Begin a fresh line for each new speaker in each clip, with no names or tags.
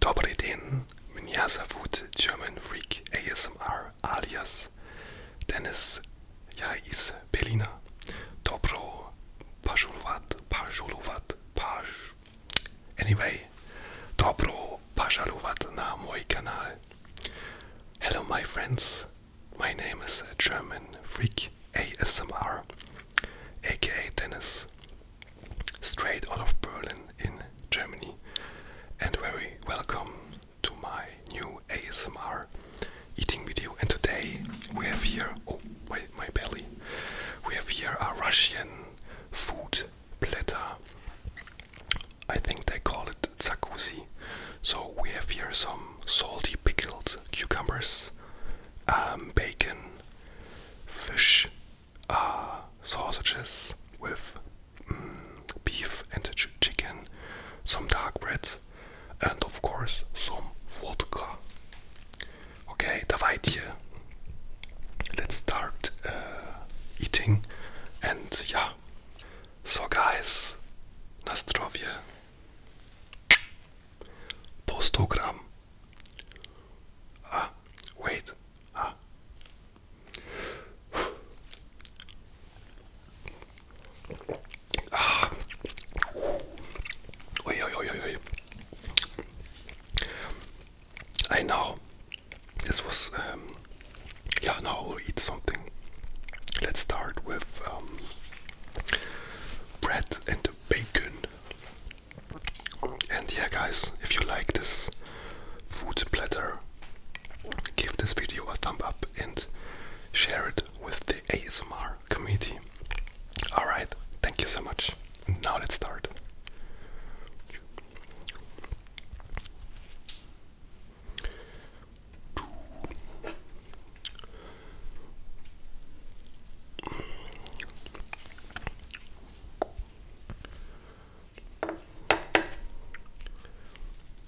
Dobrý den, Minyasa German Freak ASMR alias Dennis Ja iz Berlina. Dobro požalovat, požalovat, pož... Anyway, dobro požalovat na můj kanál. Hello my friends, my name is German Freak ASMR, aka Dennis, straight out of Berlin in Germany, and very welcome to my new ASMR eating video and today we have here oh wait my belly we have here a Russian food platter I think they call it zakuzi so we have here some salty pickled cucumbers um, bacon fish uh, sausages with mm, beef and chicken some dark bread and of course some vodka. Okay, давайте. Let's start uh, eating and yeah. So guys, na zdrowie. Po 100 gram. Ah, wait. Ah. Ah. I know this was, um, yeah, now we'll eat something. Let's start with um, bread and bacon. And yeah, guys, if you like this food platter, give this video a thumb up and share it with the ASMR community. Alright, thank you so much. Now let's start.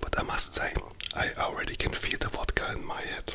But I must say, I already can feel the vodka in my head.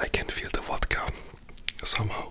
I can feel the vodka somehow.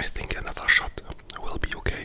I think another shot will be okay.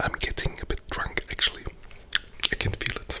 I'm getting a bit drunk actually. I can feel it.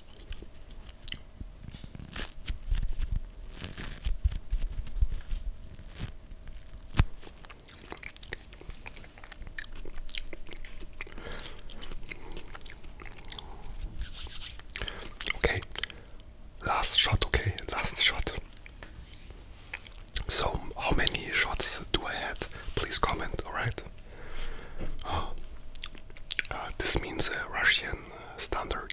Okay, last shot, okay, last shot. So, how many shots do I have? Please comment, alright? Uh, this means uh, Russian standard.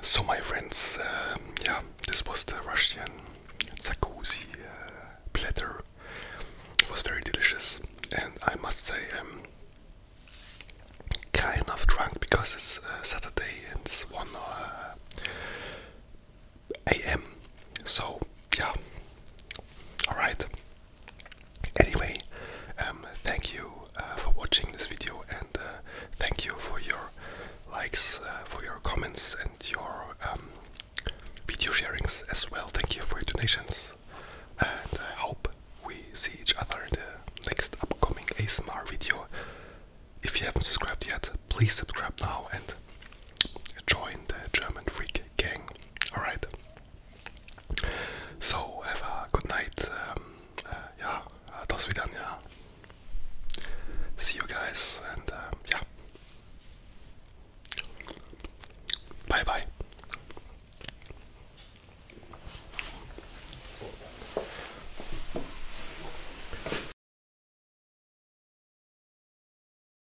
So, my friends, uh, yeah, this was the Russian Zakuzi uh, platter. It was very delicious, and I must say, I'm kind of drunk because it's uh, Saturday and it's 1 a.m. So, yeah, alright. Anyway, um, thank you uh, for watching this video and uh, thank you for your likes, uh, for your comments and your um, video sharings as well. Thank you for your donations and I hope we see each other in the next upcoming ASMR video. If you haven't subscribed yet, please subscribe now and join the German Freak gang. Alright, so, have a good night. Um, uh, ja, das wieder, See you guys and yeah. Uh, bye bye.